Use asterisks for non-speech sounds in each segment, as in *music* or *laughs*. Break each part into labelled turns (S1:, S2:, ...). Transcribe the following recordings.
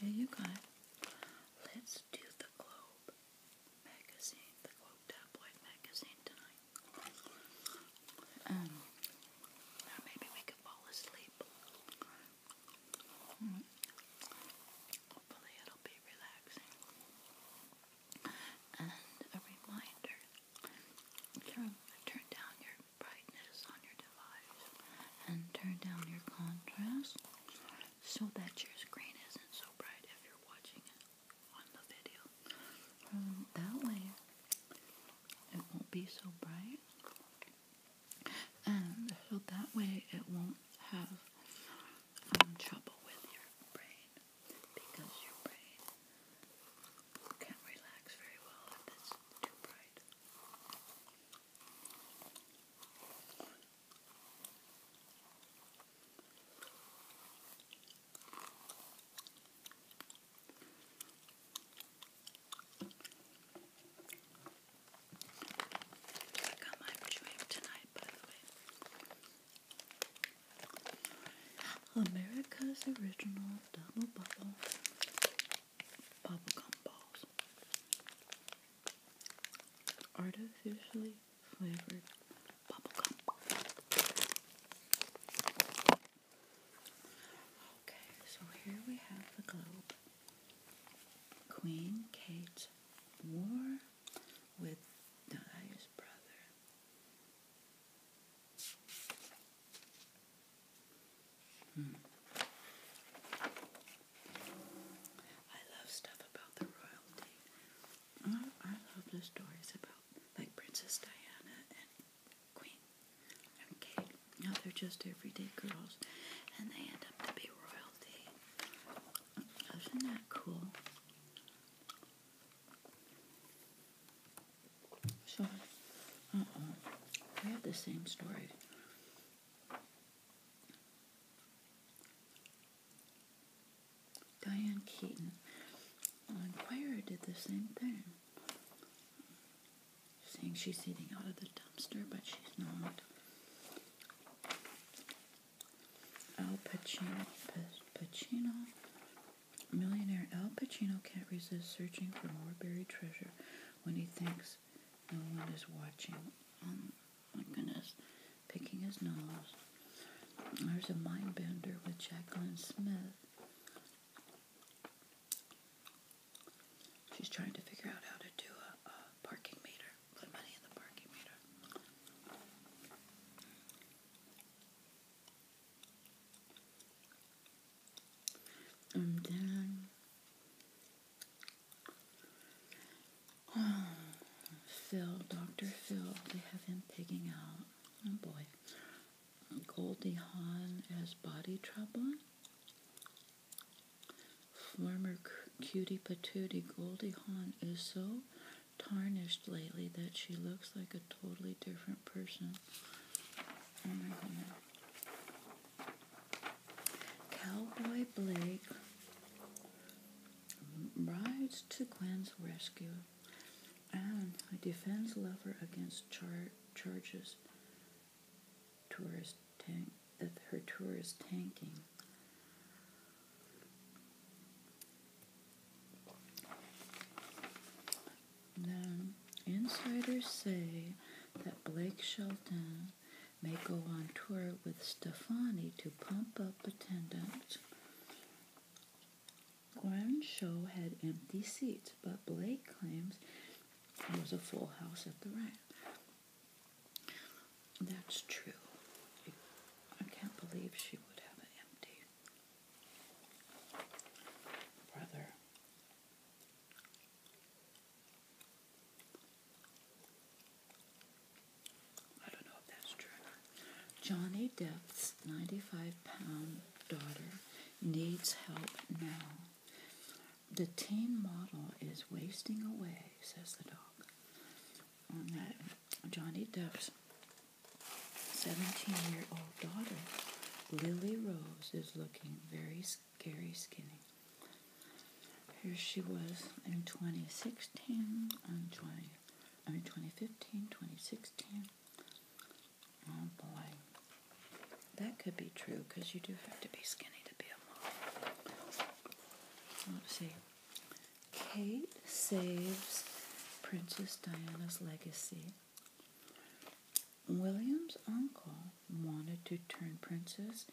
S1: Hey you guys, let's do the Globe magazine, the Globe tabloid magazine tonight. Um, maybe we could fall asleep. Hmm. Hopefully it'll be relaxing. And a reminder, turn down your brightness on your device and turn down your contrast so that your screen isn't so bright if you're watching it on the video. Um, that way it won't be so bright and so that way it won't have um, trouble with your brain because your brain can't relax very well if it's too bright. Look how much i tonight, by the way. America's original double bubble bubblegum balls. Artificially flavored bubblegum. Okay, so here we have the globe. Queen Kate's war with Danae's brother. Hmm. I love stuff about the royalty. Oh, I love the stories about like Princess Diana and Queen and Kate. Now oh, they're just everyday girls, and they end up to be royalty. Isn't that cool? So, uh-oh, we have the same story. Diane Keaton on Quire did the same thing. Saying she's eating out of the dumpster, but she's not. Al Pacino, Pacino, millionaire Al Pacino can't resist searching for more buried treasure when he thinks no one is watching. Um, my goodness, picking his nose. There's a mind bender with Jacqueline Smith. She's trying to figure out how to do a, a parking meter, put money in the parking meter and then oh, Phil, Dr. Phil, they have him picking out. Oh boy. Goldie Hawn has body trouble. Former cutie patootie Goldie Hawn is so tarnished lately that she looks like a totally different person. Oh my goodness. Cowboy Blake rides to Quinn's rescue and defends Lover against char- charges tourist tank that her tour is tanking insiders say that Blake Shelton may go on tour with Stefani to pump up attendance. Grand show had empty seats, but Blake claims it was a full house at the ranch. That's true. I can't believe she would have an empty. Brother. Johnny Depp's 95 pound daughter needs help now. The teen model is wasting away, says the dog. Johnny Depp's 17 year old daughter, Lily Rose, is looking very skinny. Gary Skinny. Here she was in 2016, and 20, I mean 2015, 2016. Oh boy, that could be true because you do have to be skinny to be a mom. Let's see. Kate saves Princess Diana's legacy William's uncle wanted to turn Princess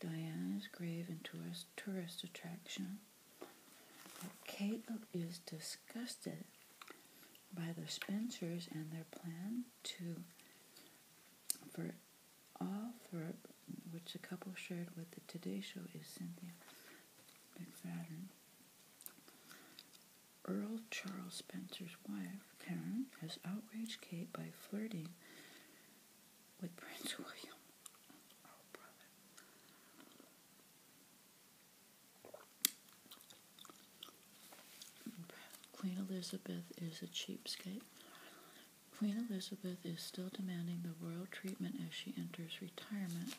S1: Diana's grave into a tourist attraction, but Kate is disgusted by the Spencers and their plan to for all for which the couple shared with the Today Show is Cynthia McFadden. Earl Charles Spencer's wife, Karen, has outraged Kate by flirting with *laughs* Prince William. Queen Elizabeth is a cheapskate. Queen Elizabeth is still demanding the royal treatment as she enters retirement.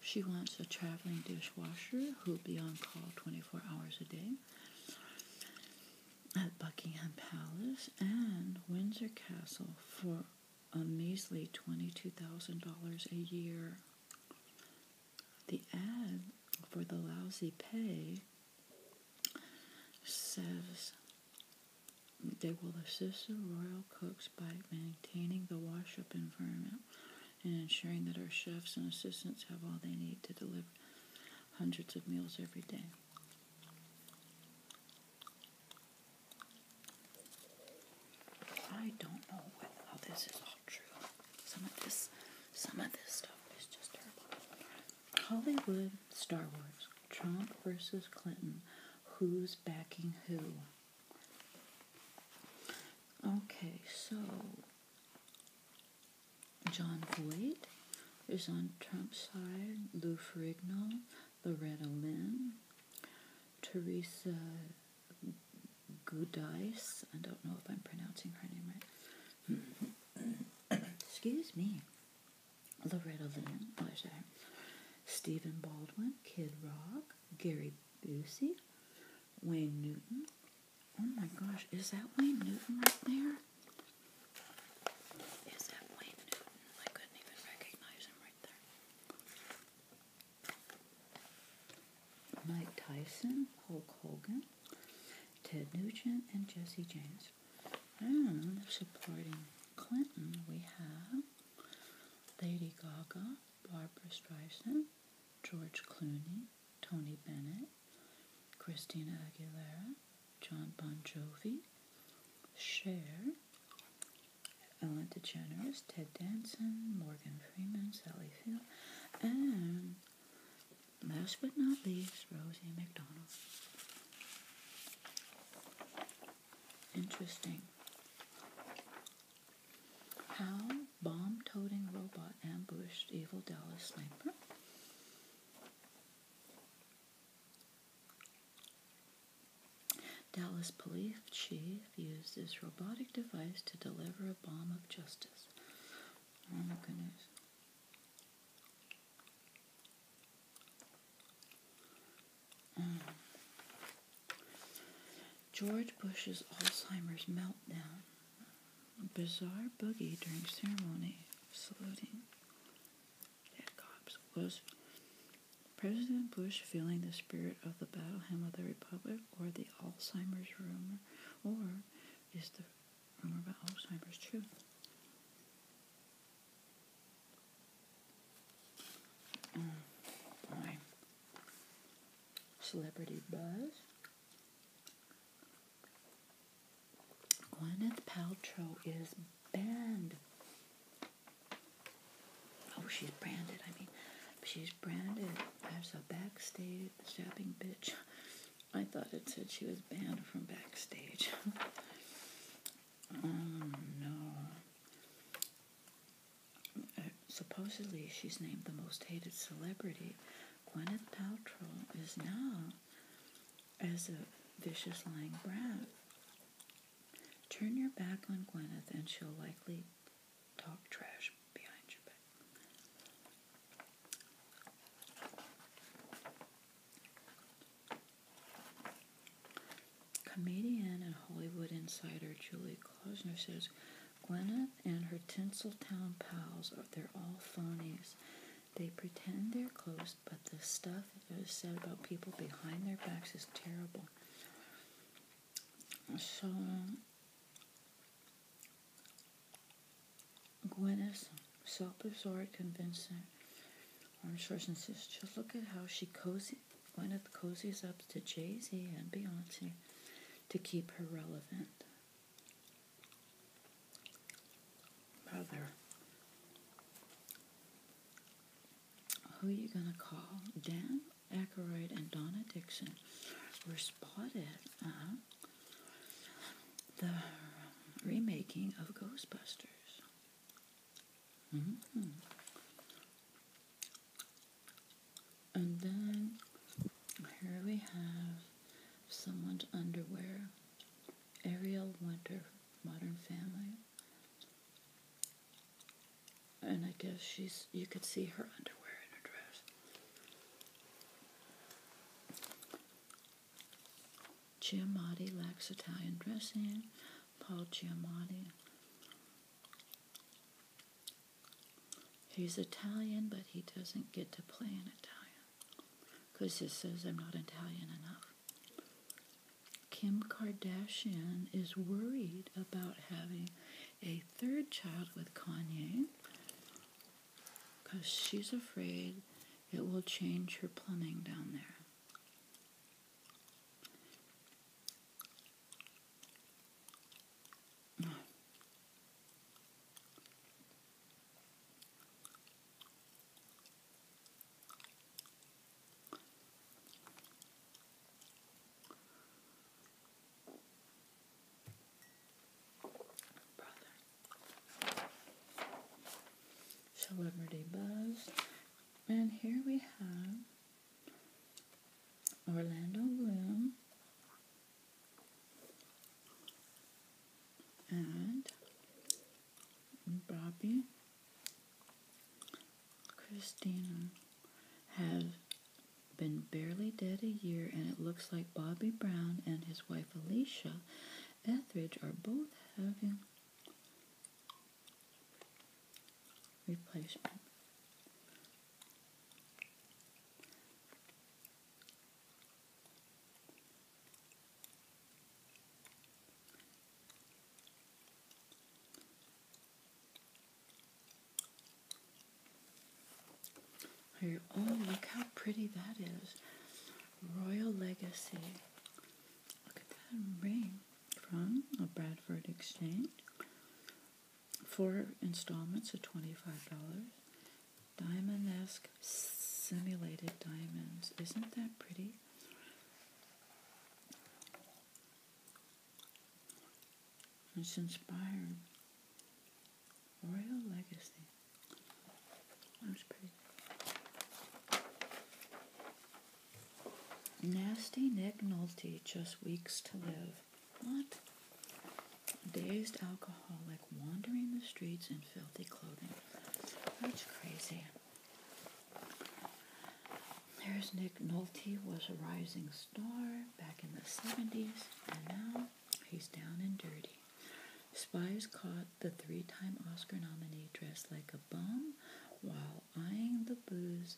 S1: She wants a traveling dishwasher who'll be on call 24 hours a day at Buckingham Palace and Windsor Castle for a measly $22,000 a year. The ad for the lousy pay says they will assist the royal cooks by maintaining the wash up environment and ensuring that our chefs and assistants have all they need to deliver hundreds of meals every day. I don't know whether this is all true. Some of this, some of this stuff is just terrible. Hollywood, Star Wars, Trump versus Clinton. Who's backing who? Okay, so John Voight is on Trump's side, Lou Ferrigno, Loretta Lynn, Teresa Gudice, I don't know if I'm pronouncing her name right. *coughs* Excuse me. Loretta Lynn, oh, sorry. Stephen Baldwin, Kid Rock, Gary Busey, Wayne Newton, Oh my gosh, is that Wayne Newton right there? Is that Wayne Newton? I couldn't even recognize him right there. Mike Tyson, Hulk Hogan, Ted Nugent, and Jesse James. And hmm, supporting Clinton, we have Lady Gaga, Barbara Streisand, George Clooney, Tony Bennett, Christina Aguilera, John Bon Jovi, Cher, Ellen DeGeneres, Ted Danson, Morgan Freeman, Sally Field, and last but not least, Rosie McDonald. Interesting. How bomb toting robot ambushed evil Dallas sniper. Dallas police chief uses robotic device to deliver a bomb of justice. Oh my goodness. Mm. George Bush's Alzheimer's meltdown bizarre boogie during ceremony saluting dead cops was President Bush feeling the spirit of the battle hymn of the Republic or the Alzheimer's rumor, or is the rumor about Alzheimer's true? Mm, Celebrity buzz. Gwyneth Paltrow is banned. Oh, she's branded. I mean, she's branded as a backstage stabbing bitch. I thought it said she was banned from backstage. oh *laughs* no. Uh, supposedly, she's named the most hated celebrity Gwyneth Paltrow is now, as a vicious lying brat. Turn your back on Gwyneth and she'll likely talk trash behind your back. Comedian and Hollywood insider Julie Klausner says, Gwyneth and her Tinseltown pals are they're all phonies. They pretend they're close, but the stuff that is said about people behind their backs is terrible. So Gwyneth's self-absorbed, convincing. I'm sure since this, just look at how she cozy, Gwyneth cozies up to Jay Z and Beyonce to keep her relevant. Mother, who are you going to call? Dan Aykroyd and Donna Dixon were spotted uh-huh, the remaking of Ghostbusters. Mm-hmm. And then here we have someone's underwear. Ariel Winter, Modern Family. And I guess she's you could see her underwear in her dress. Giamatti lacks Italian dressing. Paul Giamatti. He's Italian, but he doesn't get to play in Italian because he says I'm not Italian enough. Kim Kardashian is worried about having a third child with Kanye because she's afraid it will change her plumbing down there. Celebrity Buzz. And here we have Orlando Bloom and Bobby Christina have been barely dead a year, and it looks like Bobby Brown and his wife Alicia Etheridge are both having replacement oh, look how pretty that is. Royal Legacy. Look at that ring from a Bradford Exchange four installments of $25. Diamond esque simulated diamonds. Isn't that pretty? It's inspired. Royal Legacy. That's pretty. Nasty Nick Nolte, just weeks to live. What? dazed alcoholic wandering the streets in filthy clothing. That's crazy. There's Nick Nolte was a rising star back in the 70s, and now he's down and dirty. Spies caught the three-time Oscar nominee dressed like a bum while eyeing the booze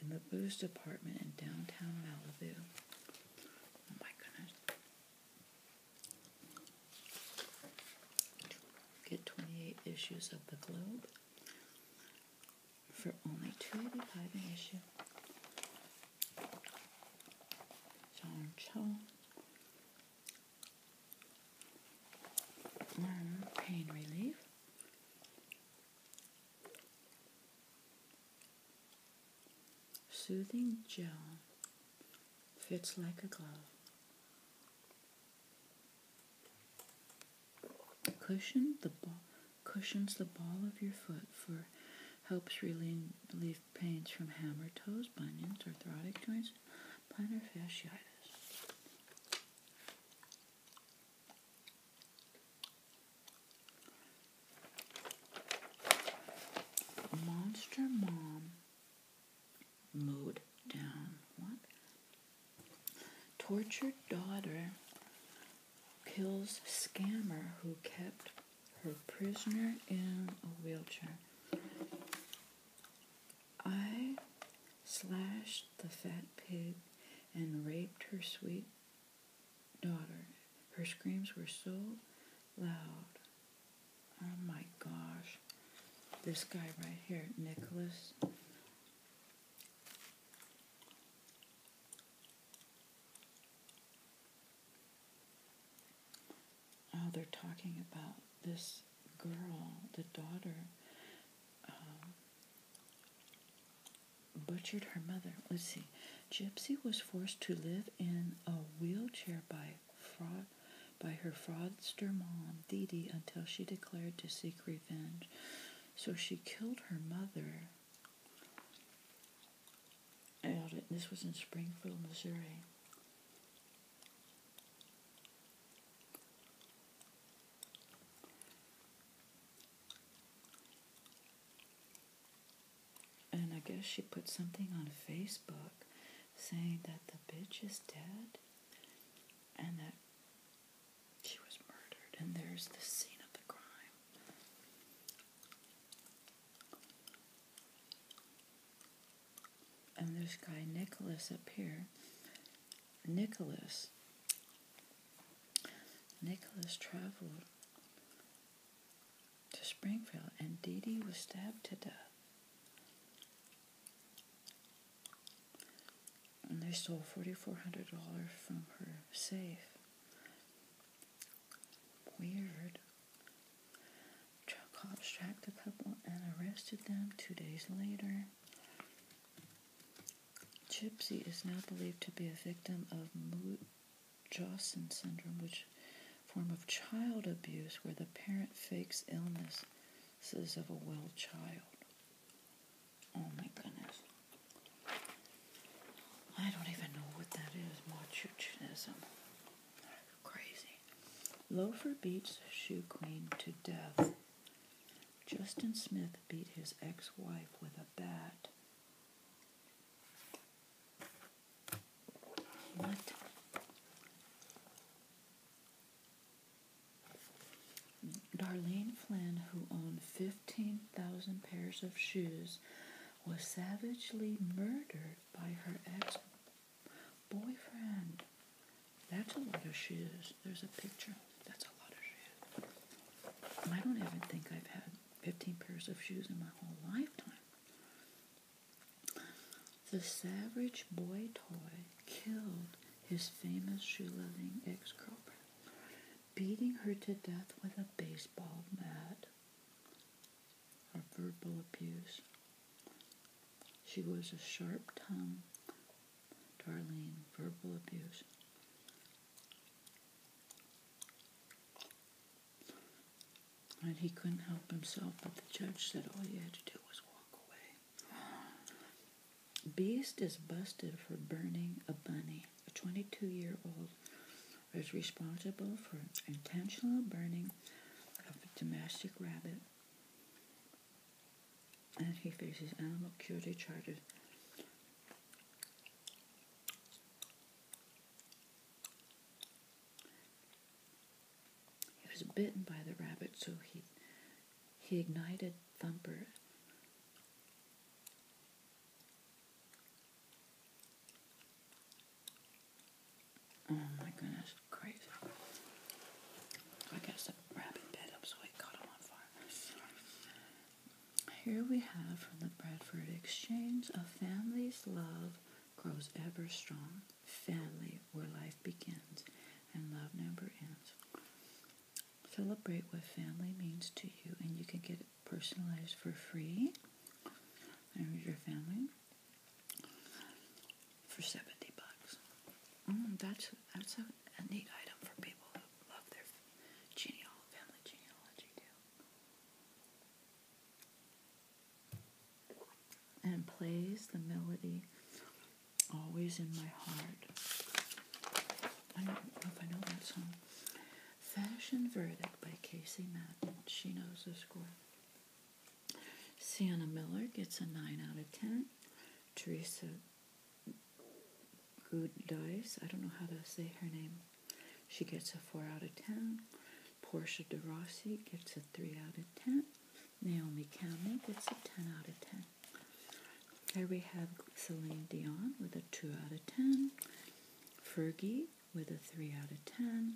S1: in the Boost department in downtown Malibu. Oh my goodness. Get 28 issues of the Globe for only $2.85 an issue. John Cho. pain relief. Soothing gel fits like a glove. Cushion the cushions the ball of your foot for helps relieve pains from hammer toes, bunions, arthritic joints, plantar fasciitis. Monster Mom mowed down. What? Tortured daughter kills scammer who kept her prisoner in a wheelchair. I slashed the fat pig and raped her sweet daughter. Her screams were so loud. Oh my gosh. This guy right here, Nicholas. Oh, they're talking about this girl, the daughter. Um, butchered her mother. Let's see. Gypsy was forced to live in a wheelchair by fraud by her fraudster mom, Dee Dee, until she declared to seek revenge. So she killed her mother. And this was in Springfield, Missouri. And I guess she put something on Facebook saying that the bitch is dead and that she was murdered. And there's the scene of the crime. And there's guy, Nicholas, up here. Nicholas Nicholas traveled to Springfield and Didi was stabbed to death. And they stole $4,400 from her safe. Weird. Truck cops tracked the couple and arrested them two days later. Gypsy is now believed to be a victim of mood syndrome, which form of child abuse where the parent fakes illnesses of a well child. Oh my goodness. I don't even know what that is, Machuchism. Crazy. Loafer beats shoe queen to death. Justin Smith beat his ex-wife with a bat Darlene Flynn, who owned 15,000 pairs of shoes, was savagely murdered by her ex boyfriend. That's a lot of shoes. There's a picture. That's a lot of shoes. I don't even think I've had 15 pairs of shoes in my whole lifetime. The Savage Boy toy killed his famous shoe-loving ex-girlfriend, beating her to death with a baseball bat. Her verbal abuse. She was a sharp-tongued, darling. verbal abuse. And he couldn't help himself, but the judge said all you had to do was walk away. Beast is busted for burning a bunny. A 22 year old is responsible for intentional burning of a domestic rabbit. And he faces animal cruelty charges he was bitten by the rabbit, so he he ignited Thumper. Oh my goodness, crazy. I guess the rabbit bit up so it caught him on fire. Here we have from the Bradford Exchange a family's love grows ever strong. Family, where life begins and love never ends. Celebrate what family means to you, and you can get it personalized for free. There's your family for 70 bucks. Mm, that's, that's a, a neat item for people love their geneal genealogy And plays the melody always in my heart. I don't know if I know that song. Fashion Verdict by Casey Madden. She knows the score. Sienna Miller gets a 9 out of 10. Teresa Gudais, I don't know how to say her name. She gets a 4 out of 10. Portia de Rossi gets a 3 out of 10. Naomi Campbell gets a 10 out of 10. Here we have Celine Dion with a 2 out of 10. Fergie with a 3 out of 10.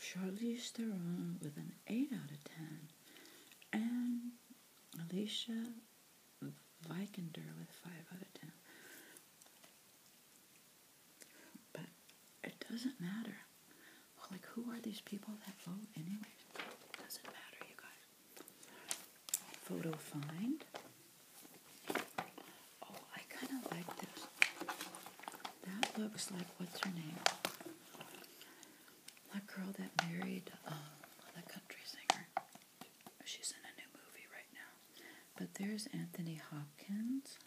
S1: Charlize Theron with an 8 out of 10. And Alicia Vikander with 5 out of 10. But it doesn't matter. Like, who are these people that vote anyway? Doesn't matter, you guys. Photo find. Oh, I kind of like this. That looks like what's her name? That girl that married um, the country singer she's in a new movie right now. But there's Anthony Hopkins,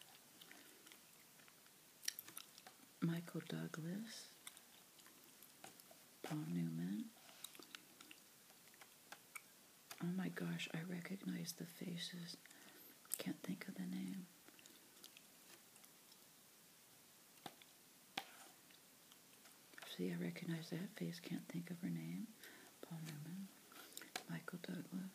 S1: Michael Douglas, Paul Newman. Oh my gosh, I recognize the faces. Can't think of the name. See, I recognize that face. Can't think of her name. Paul Newman. Michael Douglas.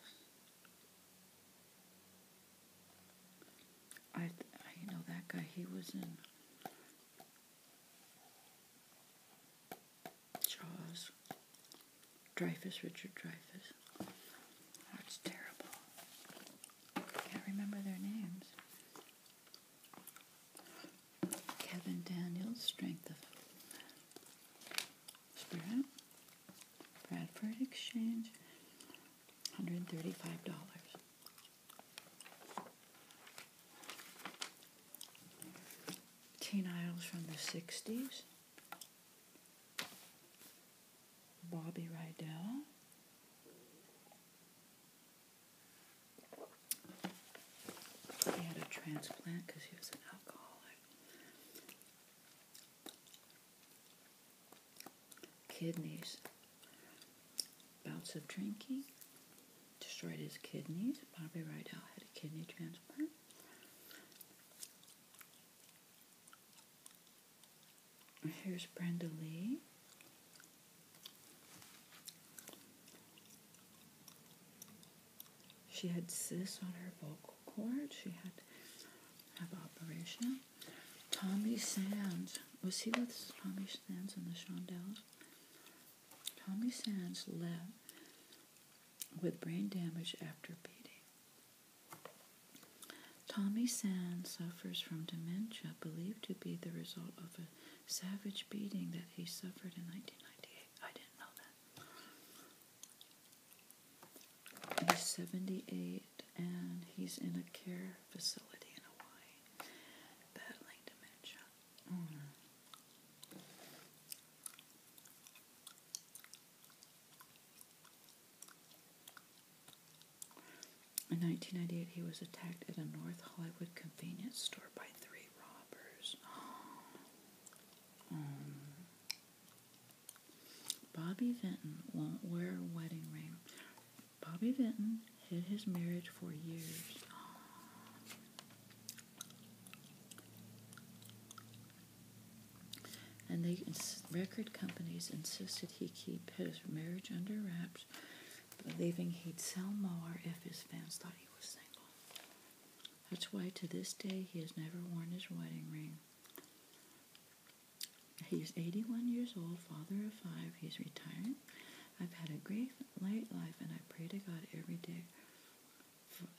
S1: I, I know that guy. He was in Jaws. Dreyfus, Richard Dreyfus. That's terrible. can't remember their names. Kevin Daniels, Strength of Spirit, Bradford Exchange, $135. Teen Idols from the 60s, Bobby Rydell, he had a transplant because he was an alcoholic. Kidneys. Bouts of drinking destroyed his kidneys. Bobby Rydell had a kidney transplant. Here's Brenda Lee. She had cysts on her vocal cords. She had have operation. Tommy Sands. Was he with Tommy Sands and the Shondells? Tommy Sands left with brain damage after beating. Tommy Sands suffers from dementia believed to be the result of a savage beating that he suffered in 1998. I didn't know that. He's 78 and he's in a care facility in Hawaii, battling dementia. Mm. In 1998, he was attacked at a North Hollywood convenience store by three Robbers. Um, Bobby Vinton won't wear a wedding ring. Bobby Vinton hid his marriage for years. And the record companies insisted he keep his marriage under wraps, believing he'd sell more if his fans thought he that's why to this day he has never worn his wedding ring. He is 81 years old, father of five. He's retired. I've had a great late life, and I pray to God every day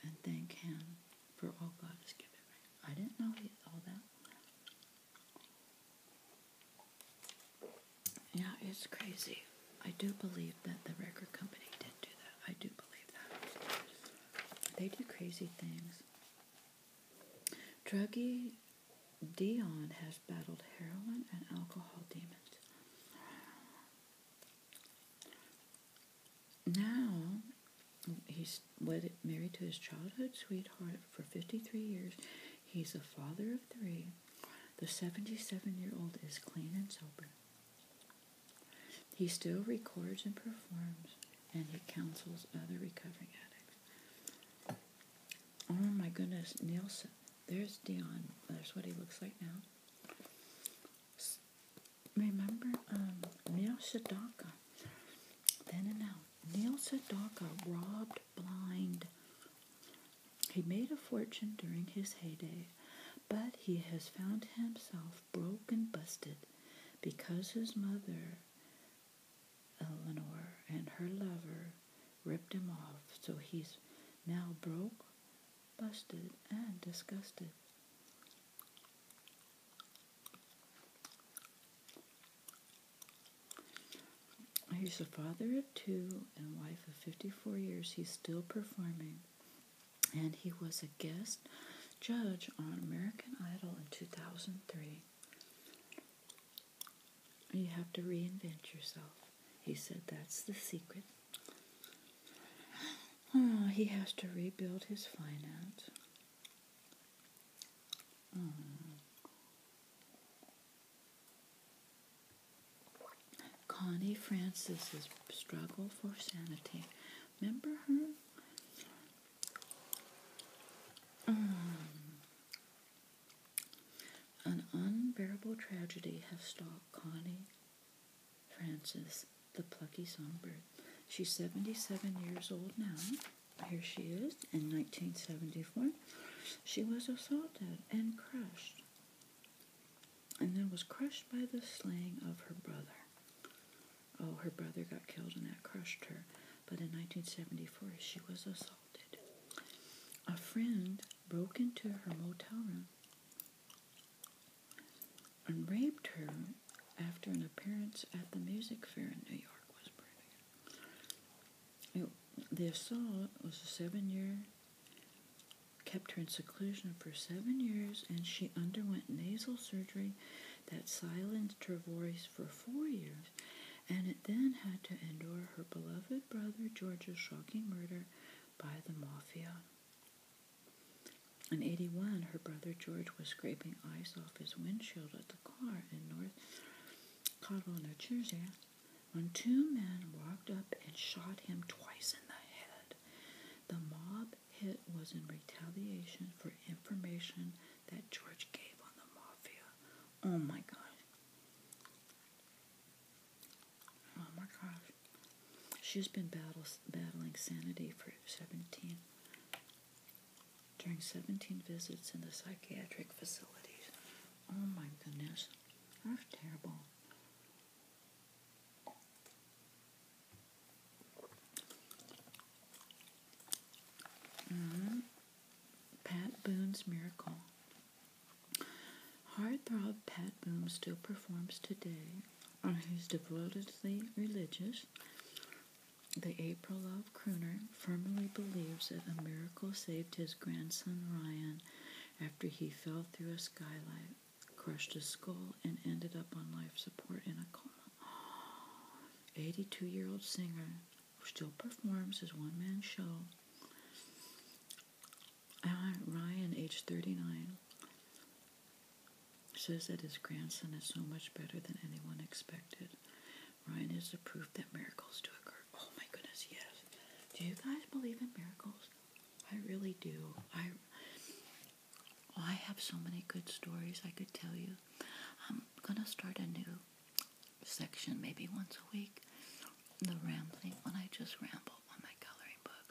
S1: and thank Him for all God has given me. I didn't know all that. Yeah, it's crazy. I do believe that the record company did do that. I do believe that. They do crazy things. Druggy Dion has battled heroin and alcohol demons. Now, he's married to his childhood sweetheart for 53 years. He's a father of three. The 77 year old is clean and sober. He still records and performs, and he counsels other recovering addicts. Oh my goodness, Nielsen. There's Dion. There's what he looks like now. Remember um, Neil Sedaka? Then and now. Neil Sedaka robbed blind he made a fortune during his heyday, but he has found himself broke and busted because his mother, Eleanor, and her lover ripped him off. So he's now broke, busted, and disgusted. He's a father two and wife of 54 years, he's still performing. And he was a guest judge on American Idol in 2003. You have to reinvent yourself. He said that's the secret. Ah, he has to rebuild his finance. Mm. Connie Francis's struggle for sanity. Remember her? Um, an unbearable tragedy has stalked Connie Francis, the plucky songbird. She's 77 years old now. Here she is in 1974. She was assaulted and crushed and then was crushed by the slaying of her brother. Oh, her brother got killed and that crushed her. But in 1974, she was assaulted. A friend broke into her motel room and raped her after an appearance at the music fair in New York. Was pretty. the assault was a seven-year kept her in seclusion for seven years, and she underwent nasal surgery that silenced her voice for four years, and it then had to endure her beloved brother George's shocking murder by the mafia. In 81, her brother George was scraping ice off his windshield at the car in North Cottle, New Jersey when two men walked up and shot him twice in the head. The mob hit was in retaliation for information that George gave on the mafia. Oh my god! Oh my gosh. She's been battles, battling sanity for 17 during 17 visits in the psychiatric facilities. Oh my goodness. That's terrible. Mm-hmm. Pat Boone's Miracle. hard Heartthrob Pat Boone still performs today on his devotedly religious. The April Love crooner firmly believes that a miracle saved his grandson Ryan after he fell through a skylight, crushed his skull, and ended up on life support in a coma. *gasps* 82 year old singer who still performs his one man show. Uh, Ryan, age 39, says that his grandson is so much better than anyone expected. Ryan is the proof that miracles do occur. Oh my goodness, yes. Do you guys believe in miracles? I really do. I oh, I have so many good stories I could tell you. I'm gonna start a new section maybe once a week. The rambling when I just ramble on my coloring book.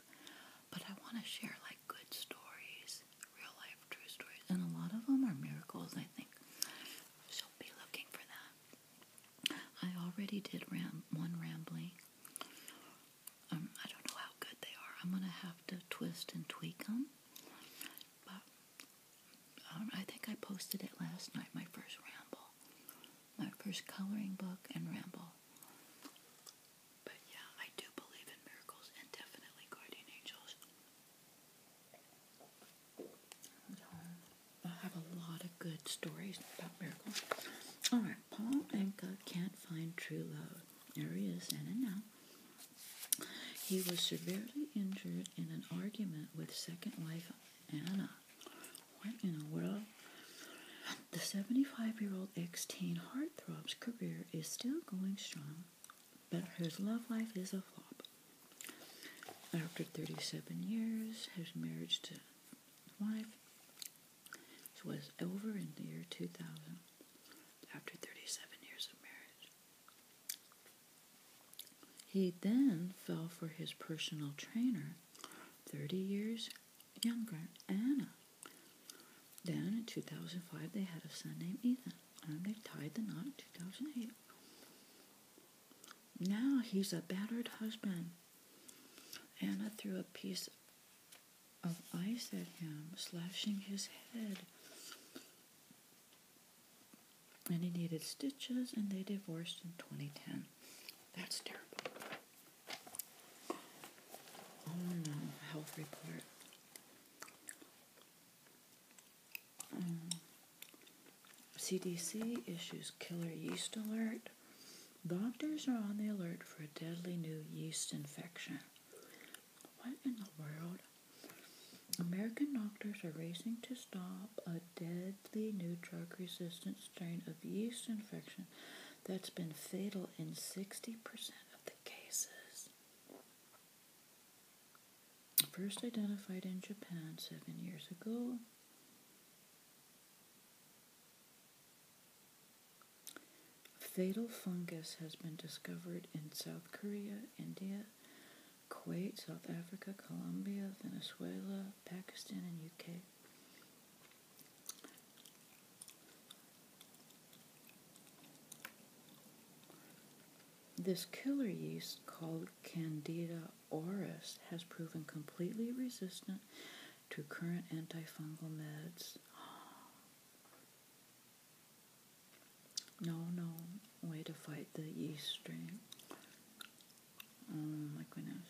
S1: But I wanna share like good stories, real life true stories. And a lot of them are miracles I think. So be looking for that. I already did one rambling. Um, I don't know how good they are. I'm gonna have to twist and tweak them. Um, I think I posted it last night. My first ramble, my first coloring book and ramble. But yeah, I do believe in miracles and definitely guardian angels. I have a lot of good stories about miracles. All right, Paul Anka can't find true love. There he is, in and He was severely injured in an argument with second wife Anna. What in the world? The 75 year old ex teen heartthrob's career is still going strong, but his love life is a flop. After 37 years, his marriage to life. This was over in the year 2000 after 37 years of marriage. He then fell for his personal trainer, 30 years younger, Anna. Then in 2005, they had a son named Ethan, and they tied the knot in 2008. Now he's a battered husband Anna threw a piece of ice at him, slashing his head. And he needed stitches, and they divorced in 2010. That's terrible. health report. CDC um, issues killer yeast alert. Doctors are on the alert for a deadly new yeast infection. What in the world? American doctors are racing to stop a deadly new drug resistant strain of yeast infection that's been fatal in 60% of the cases. First identified in Japan seven years ago, Fatal fungus has been discovered in South Korea, India, Kuwait, South Africa, Colombia, Venezuela, Pakistan, and UK. This killer yeast called Candida auris has proven completely resistant to current antifungal meds. No, no way to fight the yeast strain. Oh my goodness.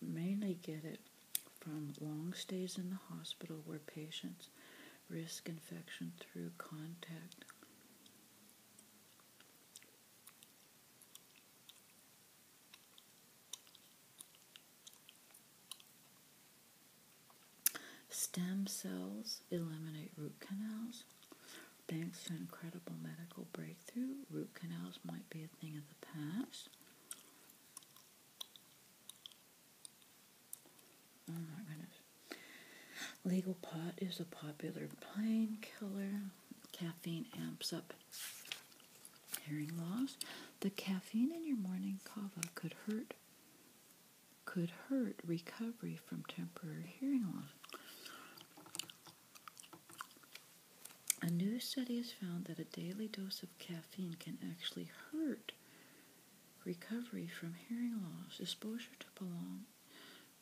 S1: Mainly get it from long stays in the hospital where patients risk infection through contact Stem cells eliminate root canals. Thanks to an incredible medical breakthrough, root canals might be a thing of the past. Oh my goodness. Legal pot is a popular painkiller. Caffeine amps up hearing loss. The caffeine in your morning cava could hurt could hurt recovery from temporary hearing loss. A new study has found that a daily dose of caffeine can actually hurt recovery from hearing loss. Exposure to prolonged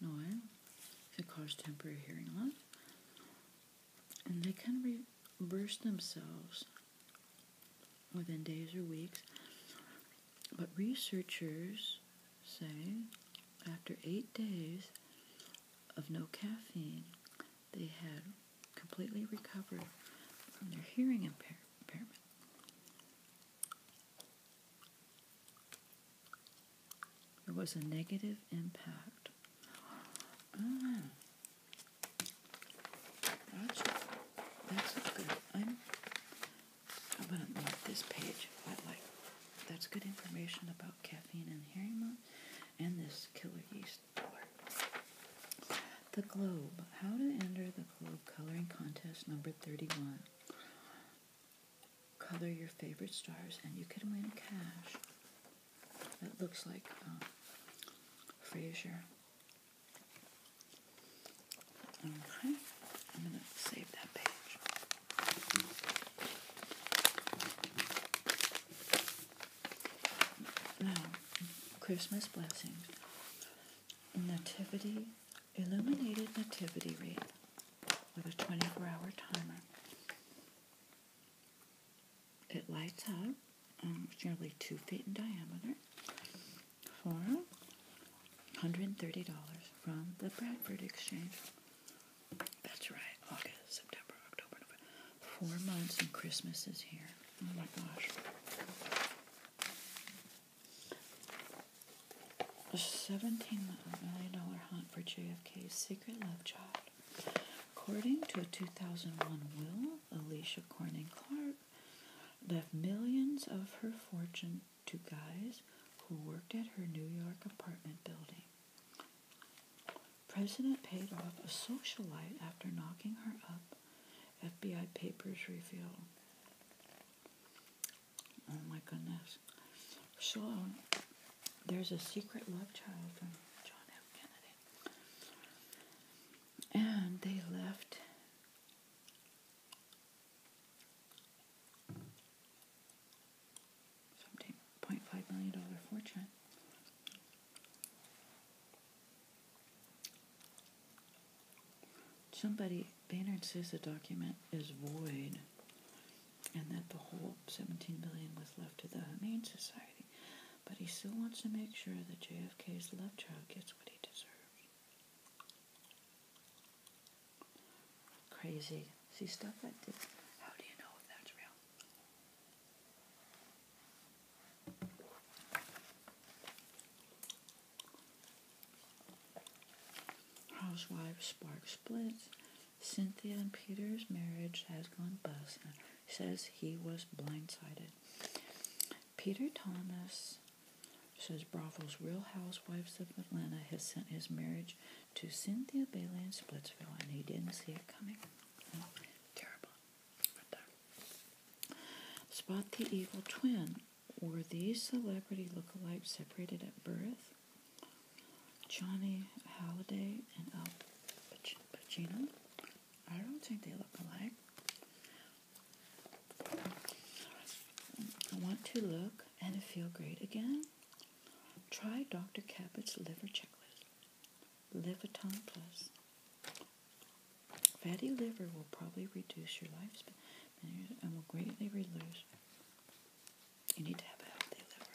S1: it can cause temporary hearing loss, and they can reverse themselves within days or weeks. But researchers say after eight days of no caffeine, they had completely recovered from their hearing impairment. There was a negative impact. Mm. That's, good. I'm, I'm going to this page. I like. That's good information about caffeine and hearing mom and this killer yeast The Globe. How to enter the Globe coloring contest number 31 color your favorite stars, and you can win cash. That looks like um, Frasier. Okay, I'm going to save that page. Now, Christmas blessings. Nativity, illuminated nativity wreath with a 24 hour timer. It lights up, um, it's nearly two feet in diameter for $130 from the Bradford Exchange. That's right, August, September, October, November. Four months and Christmas is here. Oh my gosh. A seventeen million dollar hunt for JFK's secret love child. According to a 2001 will, Alicia Corning Clark left millions of her fortune to guys who worked at her New York apartment building. President paid off a socialite after knocking her up. FBI papers reveal. Oh my goodness. So, um, there's a secret love child from John F. Kennedy. And they left seventeen point five million dollar fortune. Somebody Baynard says the document is void and that the whole 17 billion was left to the Humane Society, but he still wants to make sure that JFK's love child gets what he deserves. Crazy. See stuff like this. How do you know if that's real? Housewives spark splits. Cynthia and Peter's marriage has gone bust says he was blindsided. Peter Thomas says Bravo's Real Housewives of Atlanta has sent his marriage to Cynthia Bailey in Splitsville and he didn't see it coming. Oh, terrible. Spot the evil twin. Were these celebrity lookalikes separated at birth? Johnny Halliday and Al Pacino. I don't think they look alike. I want to look and feel great again. Try Dr. Cabot's liver checklist. Liviton Plus. Fatty liver will probably reduce your lifespan and will greatly reduce you need to have a healthy liver.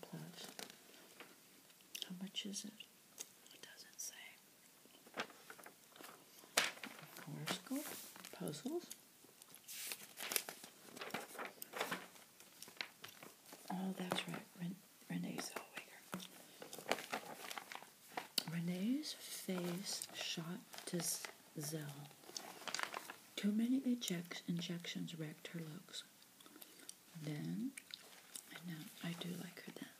S1: plus. How much is it? It doesn't say. Horoscope puzzles. Oh, that's right, Renee Zellweger. Renee's face shot to Zell. Too many eject injections wrecked her looks. Then, I know, I do like her then.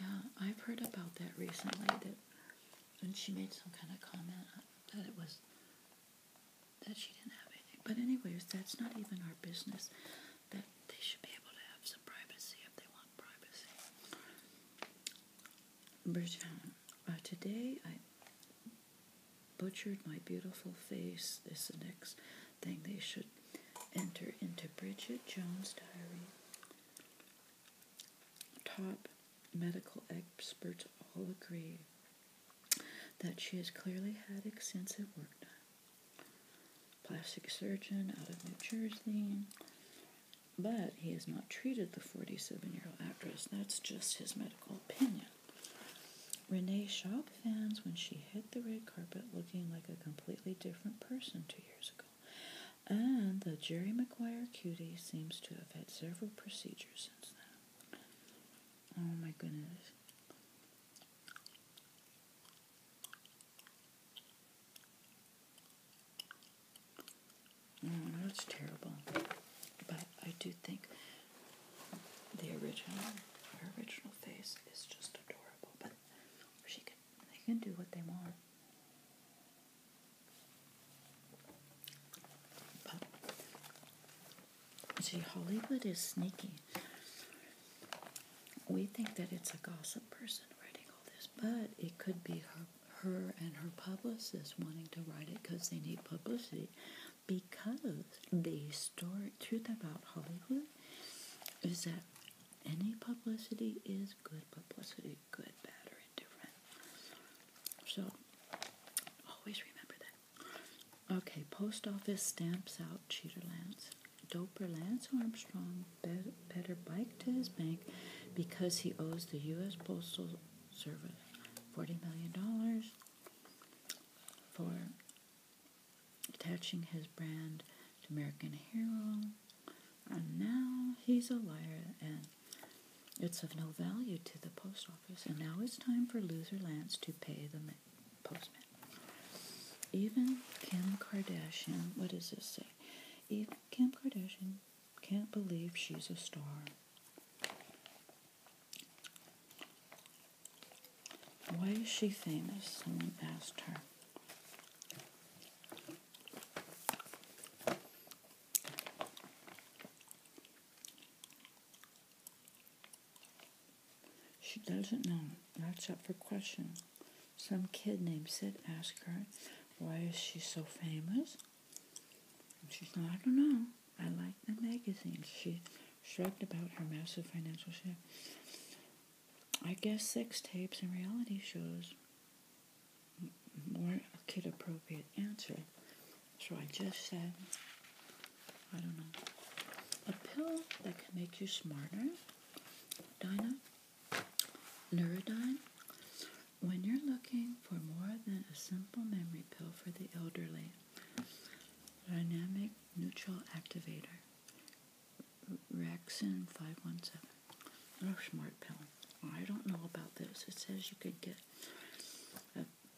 S1: Yeah, I've heard about that recently that and she made some kind of comment that it was that she didn't have anything. But anyways, that's not even our business. That they should be able to have some privacy if they want privacy. Bridget, uh, today I butchered my beautiful face. This is the next thing they should enter into Bridget Jones' diary. Top medical experts all agree that she has clearly had extensive work done. Plastic surgeon out of New Jersey, but he has not treated the 47 year old actress. That's just his medical opinion. Renee shocked fans when she hit the red carpet looking like a completely different person two years ago. And the Jerry Maguire cutie seems to have had several procedures since then. Oh my goodness. Mm, that's terrible. But I do think the original, her original face is just adorable. But she can, they can do what they want see, Hollywood is sneaky. We think that it's a gossip person writing all this, but it could be her, her and her publicist wanting to write it because they need publicity. Because the story, truth about Hollywood is that any publicity is good publicity good, bad, or indifferent. So always remember that. Okay, post office stamps out Cheater Lance. Doper Lance Armstrong better bike to his bank because he owes the U.S. Postal Service $40 million for attaching his brand to American Hero and now he's a liar, and it's of no value to the post office. And now it's time for loser Lance to pay the postman. Even Kim Kardashian, what does this say? Even Kim Kardashian can't believe she's a star. Why is she famous? Someone asked her. She doesn't know. That's up for question. Some kid named Sid asked her, why is she so famous? she said, I don't know. I like the magazines. She shrugged about her massive financial share. I guess sex tapes and reality shows more kid appropriate answer. So I just said, I don't know, a pill that can make you smarter, Dinah, Neurodyne. When you're looking for more than a simple memory pill for the elderly, Dynamic Neutral Activator, Rexin 517. Smart Pill. I don't know about this. It says you could get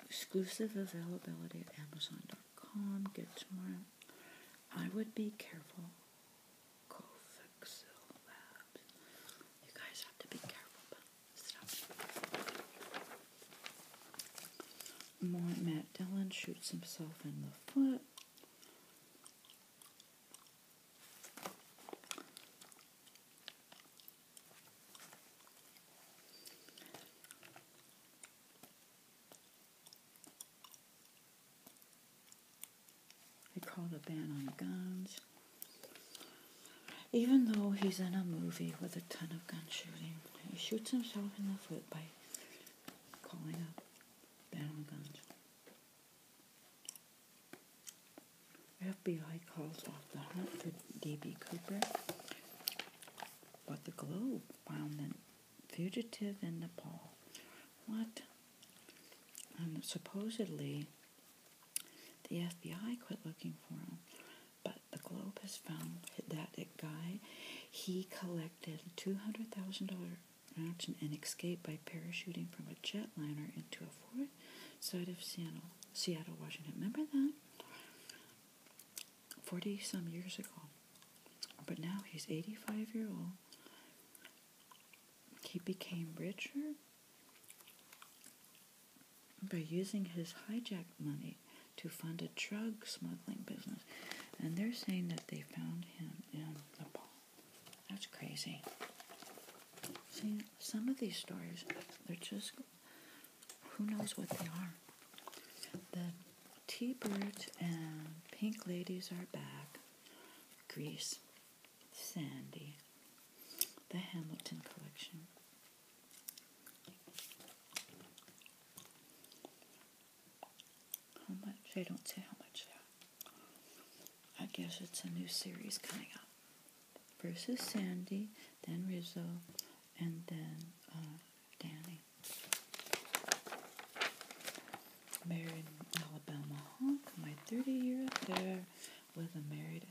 S1: exclusive availability at Amazon.com. Get smart. I would be careful. Cofixil You guys have to be careful Matt Dillon shoots himself in the foot. They called a ban on guns. Even though he's in a movie with a ton of gun shooting, he shoots himself in the foot by calling a ban on guns. FBI calls off the hunt for D.B. Cooper, but the Globe found the fugitive in Nepal. What? And supposedly, the FBI quit looking for him, but the Globe has found that guy he collected two hundred thousand dollar and escaped by parachuting from a jetliner into a forest side of Seattle, Washington. Remember that? 40 some years ago. But now he's 85 year old. He became richer by using his hijacked money to fund a drug smuggling business. And they're saying that they found him in Nepal. That's crazy. See, some of these stories, they're just, who knows what they are. The T-Birds and Pink Ladies are back. Grease, Sandy, the Hamilton Collection. How much? They don't say how much they I guess it's a new series coming up. Versus Sandy, then Rizzo, and then uh, Danny. Married Alabama hunk, my 30 year affair with a married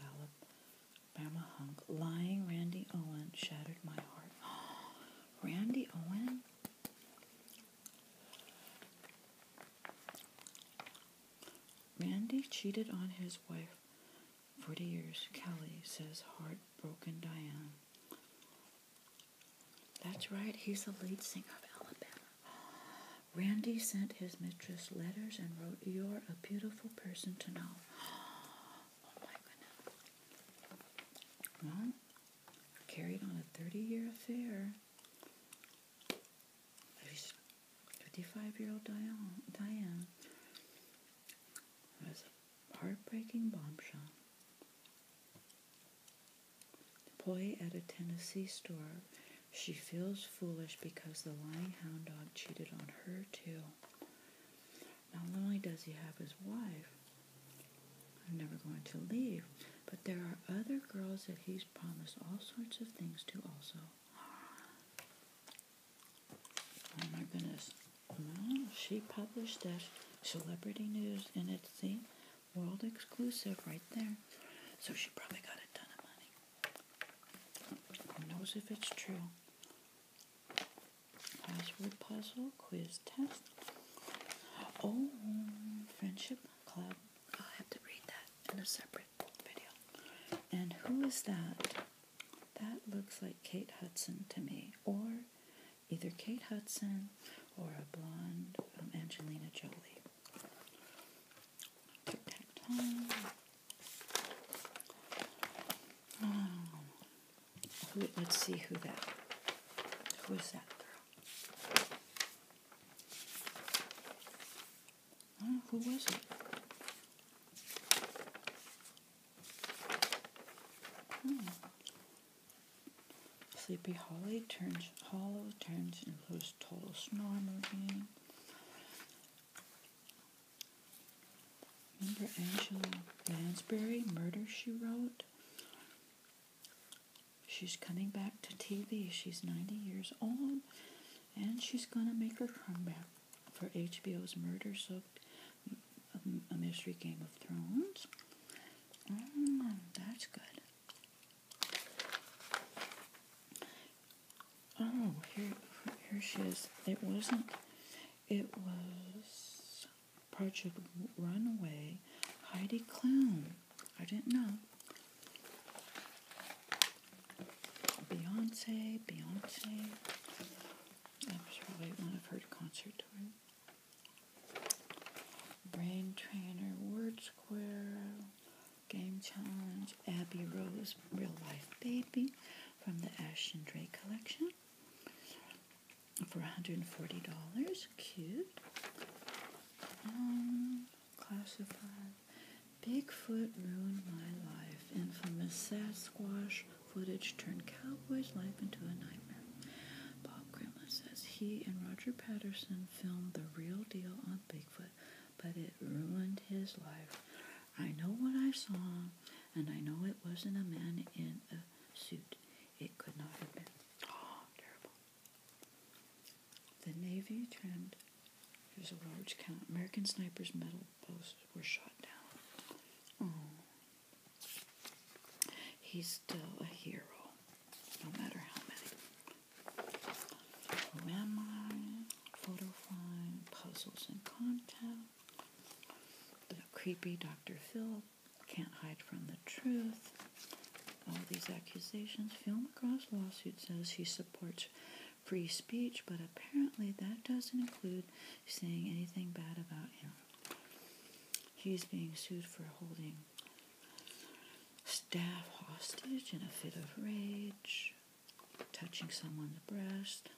S1: Alabama hunk. Lying Randy Owen shattered my heart. *gasps* Randy Owen? Randy cheated on his wife 40 years, Kelly says heartbroken Diane. That's right, he's the lead singer of Alabama. Randy sent his mistress letters and wrote, You're a beautiful person to know. *gasps* Oh my goodness. Well, carried on a 30 year affair. 55-year-old Diane, Diane was a heartbreaking bombshell. Employee at a Tennessee store, she feels foolish because the lying hound dog cheated on her too. Not only does he have his wife, I'm never going to leave, but there are other girls that he's promised all sorts of things to also. Oh my goodness. she published that celebrity news and it's the world exclusive right there. So she probably got a ton of money. Who knows if it's true? Password puzzle, quiz test. Oh, friendship club I'll have to read that in a separate video. And who is that? That looks like Kate Hudson to me, or either Kate Hudson or a blonde Angelina Jolie. Let's see who that. Who is that girl? Oh, who was it. Hmm. Sleepy Holly turns hollow, turns into a total snore again. Remember Angela Lansbury, Murder She Wrote? She's coming back to TV. She's 90 years old and she's gonna make her comeback for HBO's murder-soaked um, a mystery Game of Thrones. Mm, that's good. Oh, here, here she is. It wasn't. It was Project Runaway, Heidi Klum. I didn't know. Beyonce, Beyonce. i was probably one of her concert tours. Brain Trainer, Word Square, Game Challenge, Abby Rose, Real Life Baby from the Ashton Dre collection for $140. Cute. Um, classified. Bigfoot ruined my life. Infamous Sasquatch footage turned Cowboy's life into a nightmare. Bob Grimlin says he and Roger Patterson filmed the real deal on Bigfoot, but it ruined his life. I know what I saw, and I know it wasn't a man in a suit. It could not have been. Oh, terrible. The Navy trimmed. Here's a large count. American snipers' metal posts were shot down. He's still a hero, no matter how many. Who am I? Photo find, puzzles and contact. The creepy Dr. Phil can't hide from the truth. All these accusations. Film across lawsuit says he supports free speech, but apparently that doesn't include saying anything bad about him. He's being sued for holding staff hostage in a fit of rage, touching someone's breast,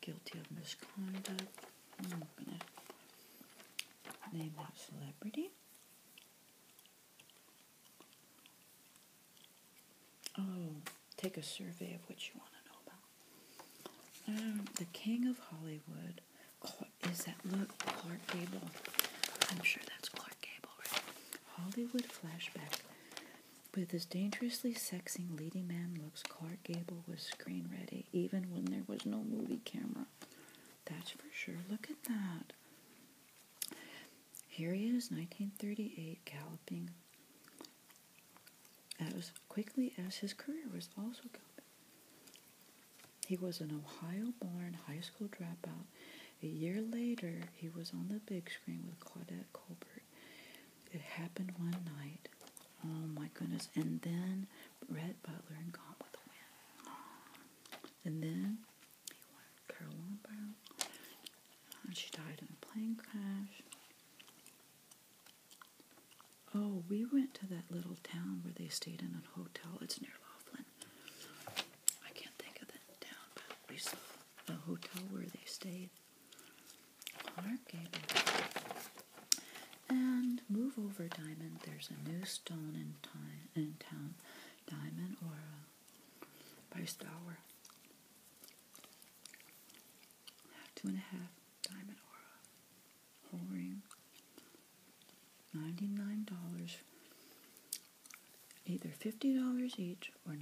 S1: guilty of misconduct. I'm going to name that celebrity. Oh, take a survey of what you want to know about. Um, the King of Hollywood. is that look Clark Gable? I'm sure that's Clark Gable, Hollywood flashback. With this dangerously sexy leading man looks, Clark Gable was screen ready even when there was no movie camera. That's for sure. Look at that. Here he is, 1938, galloping as quickly as his career was also galloping. He was an Ohio born high school dropout. A year later, he was on the big screen with Claudette Colbert. It happened one night. Oh my goodness. And then Red Butler and Gone with the Wind. And then you want And she died in a plane crash. Oh, we went to that little town where they stayed in a hotel. It's near Laughlin. I can't think of that town, but we saw a hotel where they stayed. Clark And move over, Diamond. There's a new stone in, time, in town. Diamond or post hour. Two and a half diamond aura whole ring. $99. Either $50 each or $99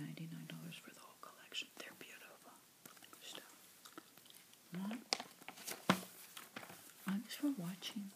S1: for the whole collection. They're beautiful stuff. Well, thanks for watching.